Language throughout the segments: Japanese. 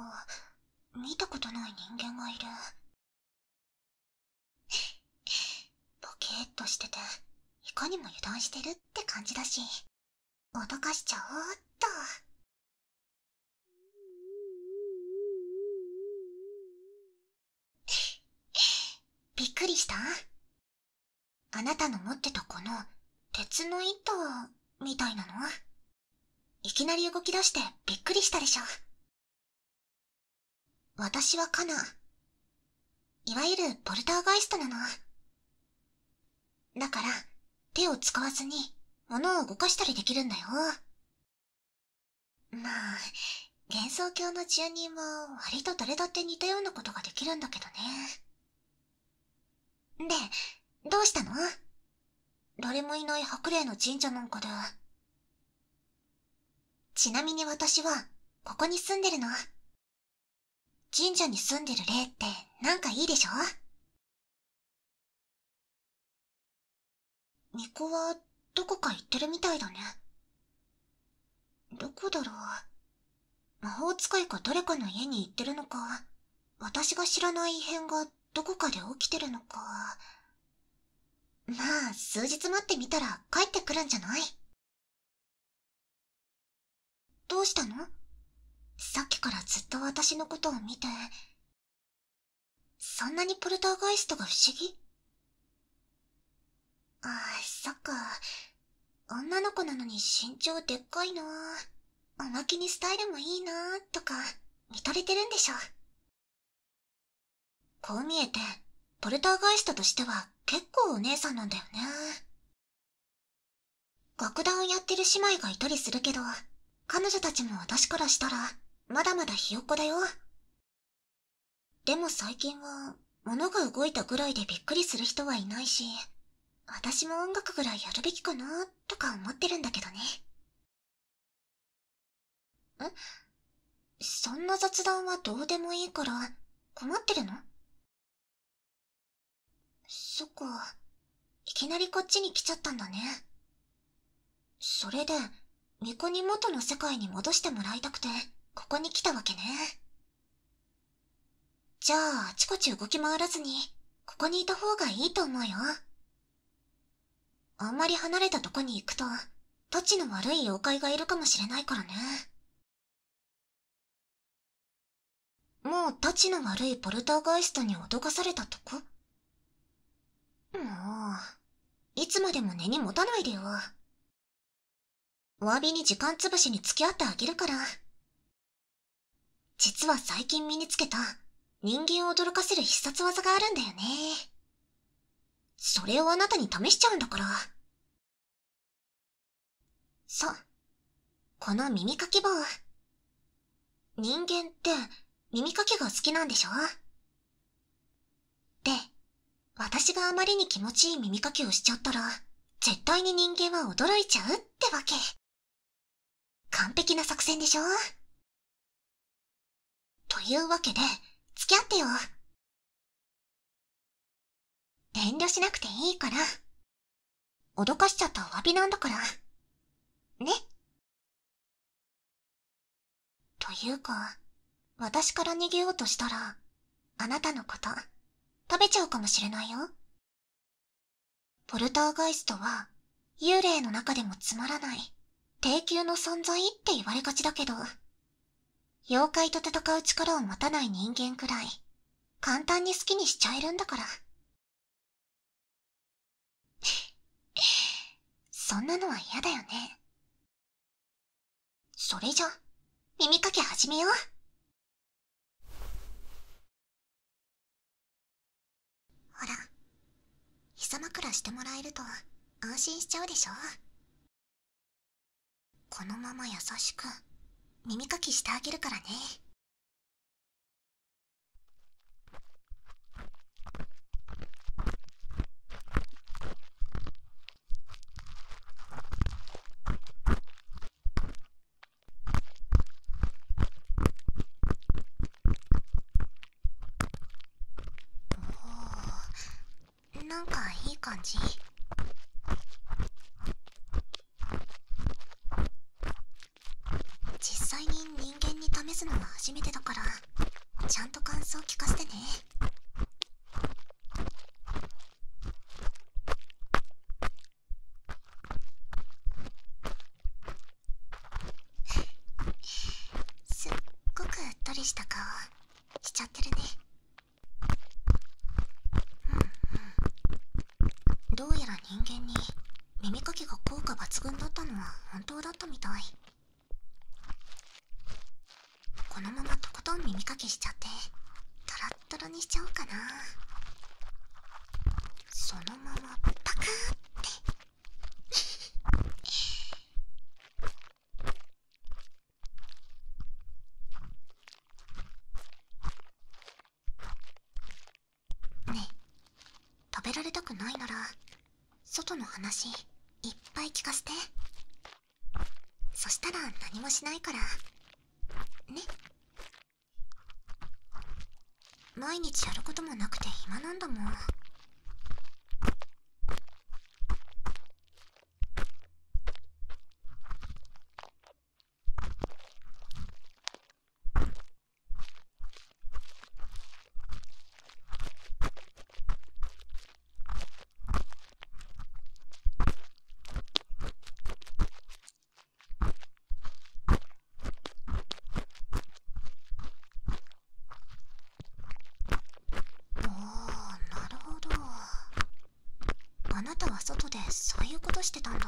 あ見たことない人間がいる ボキッとしてていかにも油断してるって感じだし脅かしちゃおっとびっくりしたあなたの持ってたこの鉄の糸みたいなのいきなり動き出してびっくりしたでしょ。私はカナ。いわゆるポルターガイストなの。だから、手を使わずに、物を動かしたりできるんだよ。まあ幻想郷の住人は割と誰だって似たようなことができるんだけどねでどうしたの誰もいない白麗の神社なんかでちなみに私はここに住んでるの神社に住んでる霊って何かいいでしょ巫女はどこか行ってるみたいだね。どこだろう。魔法使いか誰かの家に行ってるのか、私が知らない異変がどこかで起きてるのか。まあ、数日待ってみたら帰ってくるんじゃないどうしたのさっきからずっと私のことを見て、そんなにポルターガイストが不思議ああ、そっか。女の子なのに身長でっかいなおまけにスタイルもいいなあとか、見とれてるんでしょ。こう見えて、ポルターガイストとしては結構お姉さんなんだよね。楽団をやってる姉妹がいたりするけど、彼女たちも私からしたら、まだまだひよっこだよ。でも最近は、物が動いたぐらいでびっくりする人はいないし、私も音楽ぐらいやるべきかな、とか思ってるんだけどね。えそんな雑談はどうでもいいから、困ってるのそっか、いきなりこっちに来ちゃったんだね。それで、巫女に元の世界に戻してもらいたくて、ここに来たわけね。じゃあ、あちこち動き回らずに、ここにいた方がいいと思うよ。あんまり離れたとこに行くと、たちの悪い妖怪がいるかもしれないからね。もうたちの悪いポルターガイストに脅かされたとこもう、いつまでも根に持たないでよ。お詫びに時間つぶしに付き合ってあげるから。実は最近身につけた人間を驚かせる必殺技があるんだよね。それをあなたに試しちゃうんだから。そう。この耳かき棒。人間って耳かきが好きなんでしょで、私があまりに気持ちいい耳かきをしちゃったら、絶対に人間は驚いちゃうってわけ。完璧な作戦でしょというわけで、付き合ってよ。遠慮しなくていいから。脅かしちゃったお詫びなんだから。ね。というか私から逃げようとしたらあなたのこと食べちゃうかもしれないよポルターガイストは幽霊の中でもつまらない低級の存在って言われがちだけど妖怪と戦う力を持たない人間くらい簡単に好きにしちゃえるんだからそんなのは嫌だよね。それじゃ、耳かき始めよう。ほら、膝枕してもらえると安心しちゃうでしょ。このまま優しく耳かきしてあげるからね。おなんかいい感じ実際に人間に試すのは初めてだからちゃんと感想聞かせてねすっごくうっとりした顔しちゃってるねうんうんどうやら人間に耳かきが効果抜群だったのは本当だったみたいこのままとことん耳かきしちゃってトロットロにしちゃおうかなそのままパカってねえ食べられたくないなら外の話いっぱい聞かせてそしたら何もしないからね毎日やることもなくて暇なんだもんおーなるほどあなたは外でそういうことしてたんだ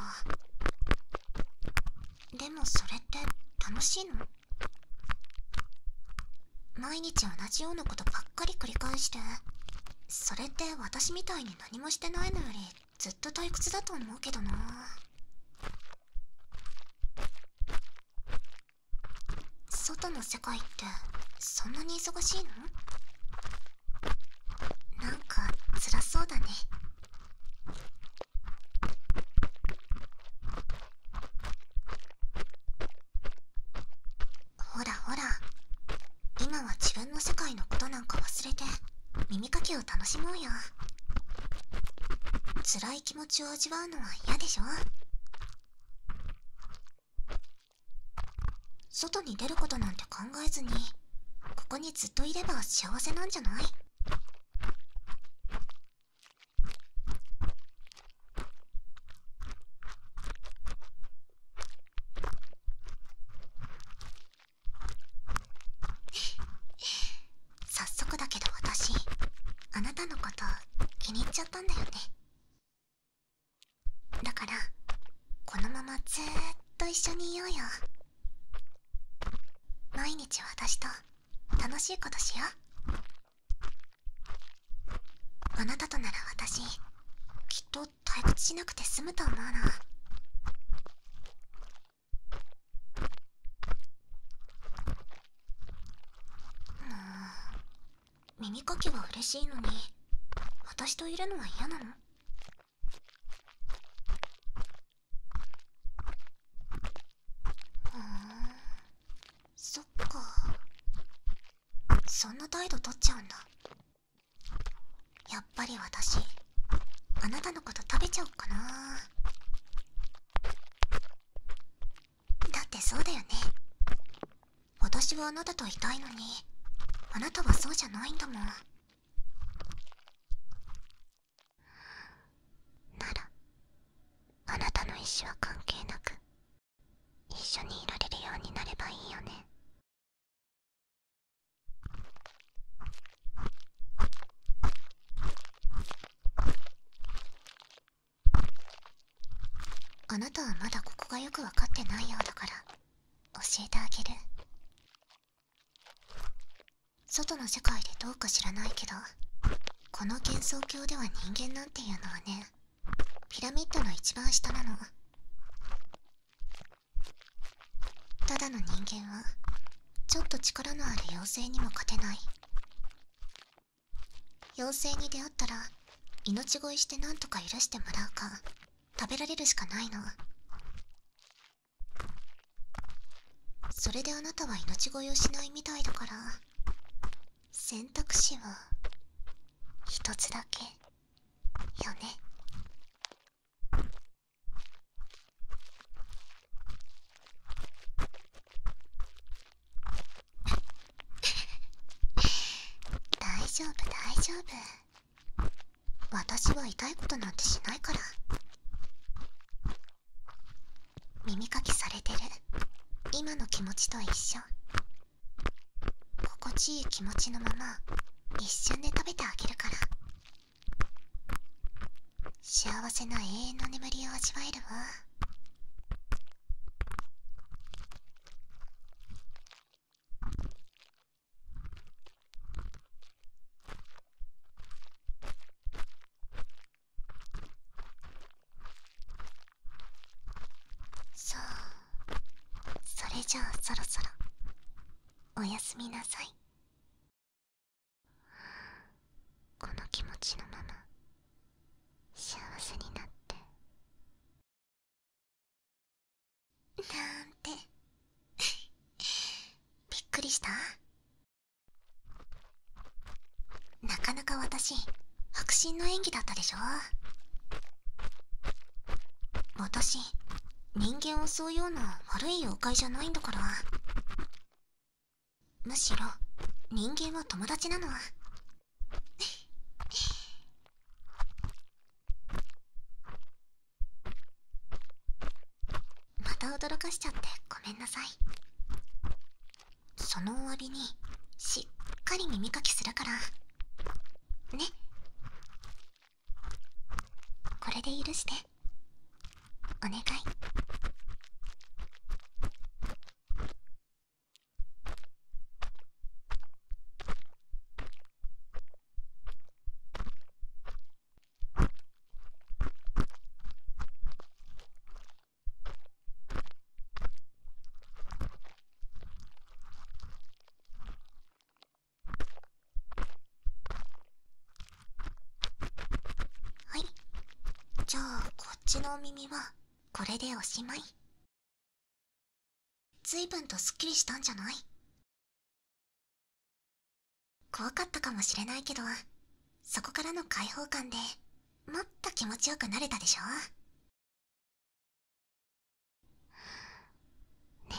でもそれって楽しいの毎日同じようなことばっかり繰り返してそれって私みたいに何もしてないのよりずっと退屈だと思うけどな外の世界ってそんなに忙しいのなんか辛そうだねほらほら今は自分の世界のことなんか忘れて耳かきを楽しもうよ辛い気持ちを味わうのは嫌でしょ外に出ることなんて考えずにここにずっといれば幸せなんじゃない早速だけど私あなたのこと気に入っちゃったんだよねだからこのままずっと一緒にいようよ。毎日私と楽しいことしようあなたとなら私きっと退屈しなくて済むと思うな耳かきは嬉しいのに私といるのは嫌なのそっかそんな態度取っちゃうんだやっぱり私あなたのこと食べちゃおっかなだってそうだよね私はあなたといたいのにあなたはそうじゃないんだもんならあなたの意思は関係なく一緒にいられるようになればいいよねあなたはまだここがよく分かってないようだから教えてあげる外の世界でどうか知らないけどこの幻想郷では人間なんていうのはねピラミッドの一番下なのただの人間はちょっと力のある妖精にも勝てない妖精に出会ったら命乞いして何とか許してもらうか食べられるしかないのそれであなたは命乞いをしないみたいだから選択肢は一つだけよね 大丈夫大丈夫私は痛いことなんてしないから耳かきされてる今の気持ちと一緒心地いい気持ちのまま一瞬で食べてあげるから幸せな永遠の眠りを味わえるわそう、それじゃあそろそろおやすみなさいこの気持ちのまま幸せになってなんてびっくりしたなかなか私迫真の演技だったでしょ私人間を襲うような悪い妖怪じゃないんだからむしろ人間は友達なのまた驚かしちゃってごめんなさいそのわ割にしっかり耳かきするからねこれで許してお願いはいじゃあこっちのお耳はこれでおしまいずいぶんとすっきりしたんじゃない怖かったかもしれないけどそこからの解放感でもっと気持ちよくなれたでしょね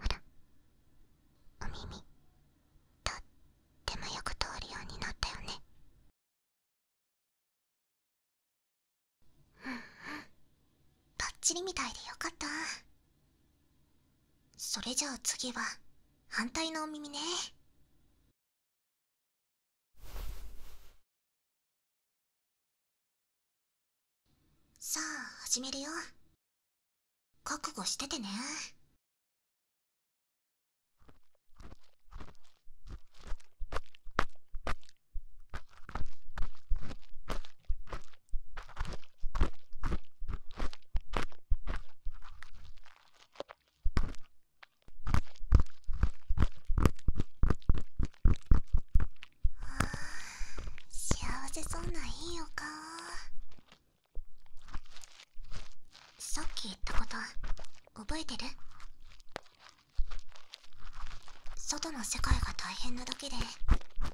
ほらお耳とってもよく通るようになったよねうんうんばっちりみたいでよかったそれじゃあ次は反対のお耳ねさあ始めるよ覚悟しててね幸せそんないいお顔さっき言ったこと覚えてる外の世界が大変なだけで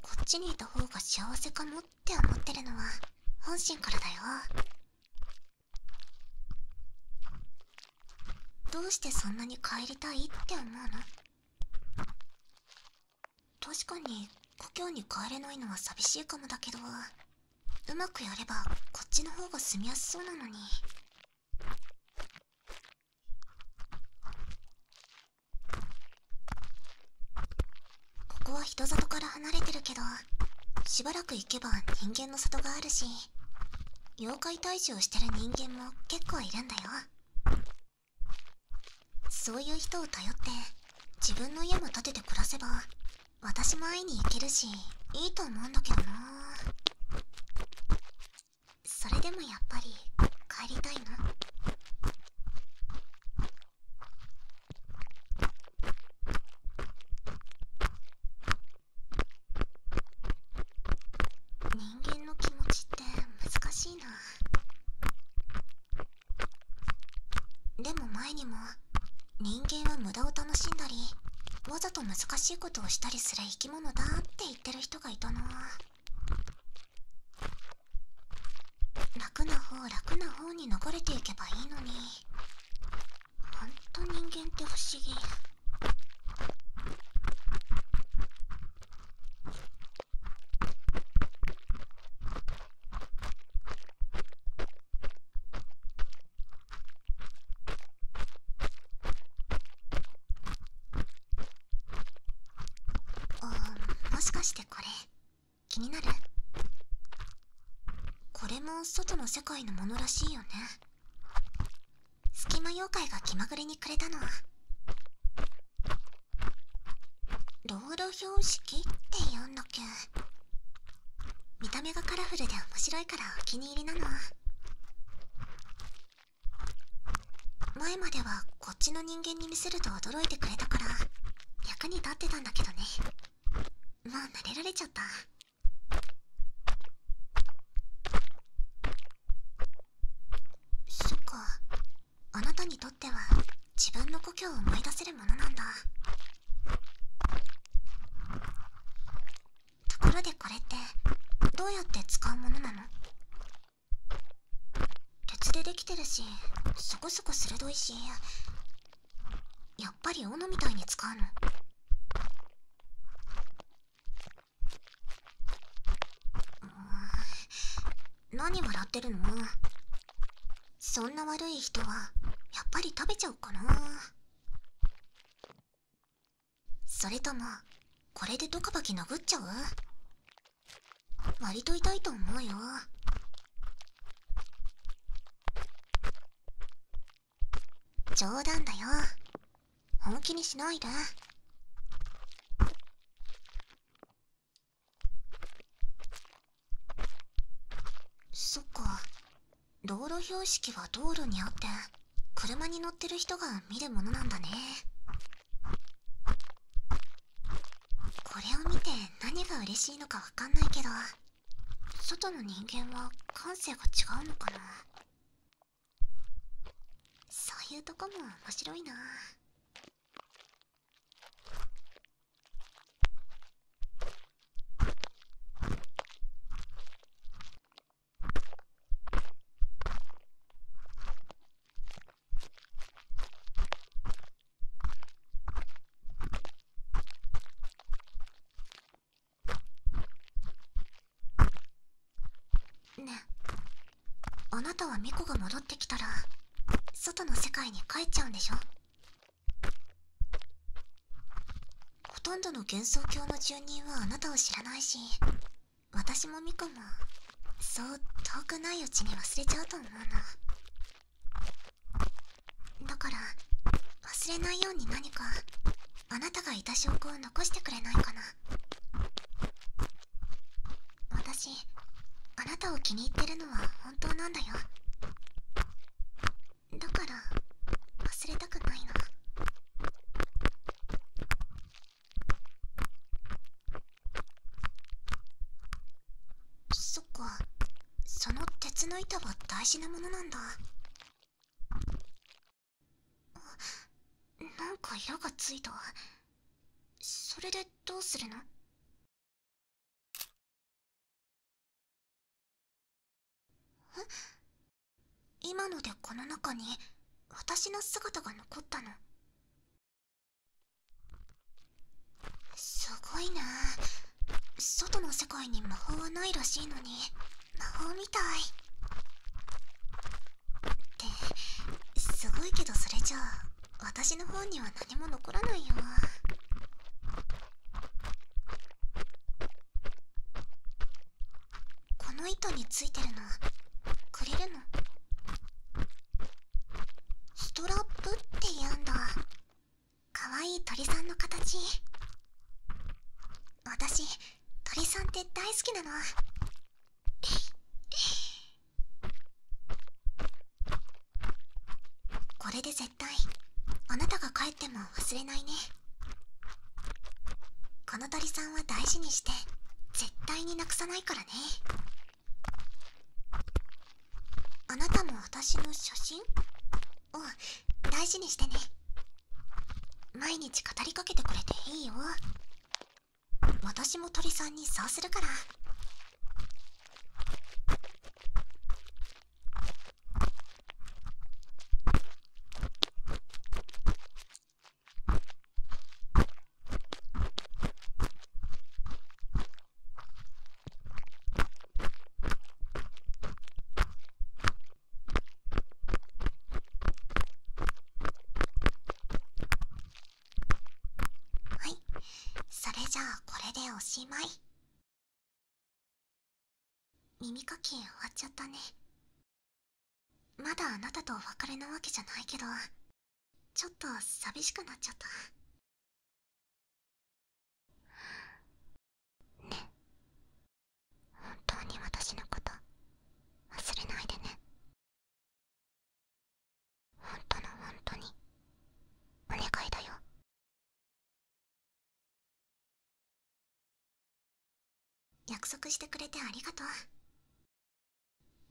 こっちにいた。た方が幸せかもって思ってるのは本心からだよどうしてそんなに帰りたいって思うの確かに故郷に帰れないのは寂しいかもだけどうまくやればこっちの方が住みやすそうなのにここは人里から離れてるけどしばらく行けば人間の里があるし妖怪退治をしてる人間も結構いるんだよそういう人を頼って自分の家も建てて暮らせば私も会いに行けるしいいと思うんだけどなそれでもやっぱり帰りたいの人間の気持ちって難しいなでも前にも人間は無駄を楽しんだりわざと難しいことをしたりする生き物だって言ってる人がいたな楽な方楽な方に流れていけばいいのにほんと人間って不思議。あもしかしてこれ気になるこれも外の世界のものらしいよね隙間妖怪が気まぐれにくれたのロール標識って言うんだけ見た目がカラフルで面白いからお気に入りなの前まではこっちの人間に見せると驚いてくれたから役に立ってたんだけどねもう慣れられちゃったそっかあなたにとっては自分の故郷を思い出せるものなんだところでこれってどうやって使うものなの鉄でできてるしそこそこ鋭いしやっぱり斧みたいに使うの。う。何笑ってるのそんな悪い人はやっぱり食べちゃおうかなそれともこれでドカバキ殴っちゃう割と痛いと思うよ冗談だよ本気にしないでそっか道路標識は道路にあって車に乗ってる人が見るものなんだねこれを見て何が嬉しいのかわかんないけど外の人間は感性が違うのかなそういうとこも面白いなねあなたはミコが戻ってきたら外の世界に帰っちゃうんでしょほとんどの幻想郷の住人はあなたを知らないし私もミコもそう遠くないうちに忘れちゃうと思うのだから忘れないように何かあなたがいた証拠を残してくれないかな私あなたを気に入ってるのは本当なんだよだから忘れたくないのそっかその鉄の板は大事なものなんだなんか矢がついたそれでどうするのえ？今のでこの中に私の姿が残ったのすごいな外の世界に魔法はないらしいのに魔法みたいってすごいけどそれじゃあ私の方には何も残らないよこの糸についてるのくれるのストラップって言うんだかわいい鳥さんの形私鳥さんって大好きなのこれで絶対あなたが帰っても忘れないねこの鳥さんは大事にして絶対になくさないからあなたも私の写真うん大事にしてね毎日語りかけてくれていいよ私も鳥さんにそうするからはいそれじゃあこれでおしまい耳かき終わっちゃったねまだあなたとお別れなわけじゃないけどちょっと寂しくなっちゃったね本当に私のこと忘れないでね本当の本当にお願いだよ約束してくれてありがと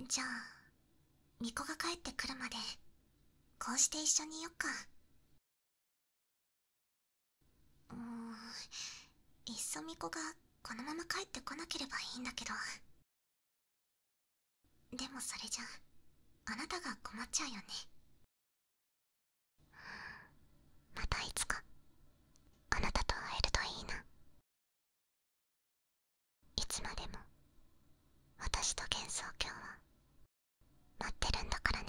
うじゃあ巫女が帰ってくるまでこうして一緒にいよっかうーんいっそ巫女がこのまま帰ってこなければいいんだけどでもそれじゃあなたが困っちゃうよねまたいつかあなたと会えるといいないつまでも私と幻想郷は待ってるんだからね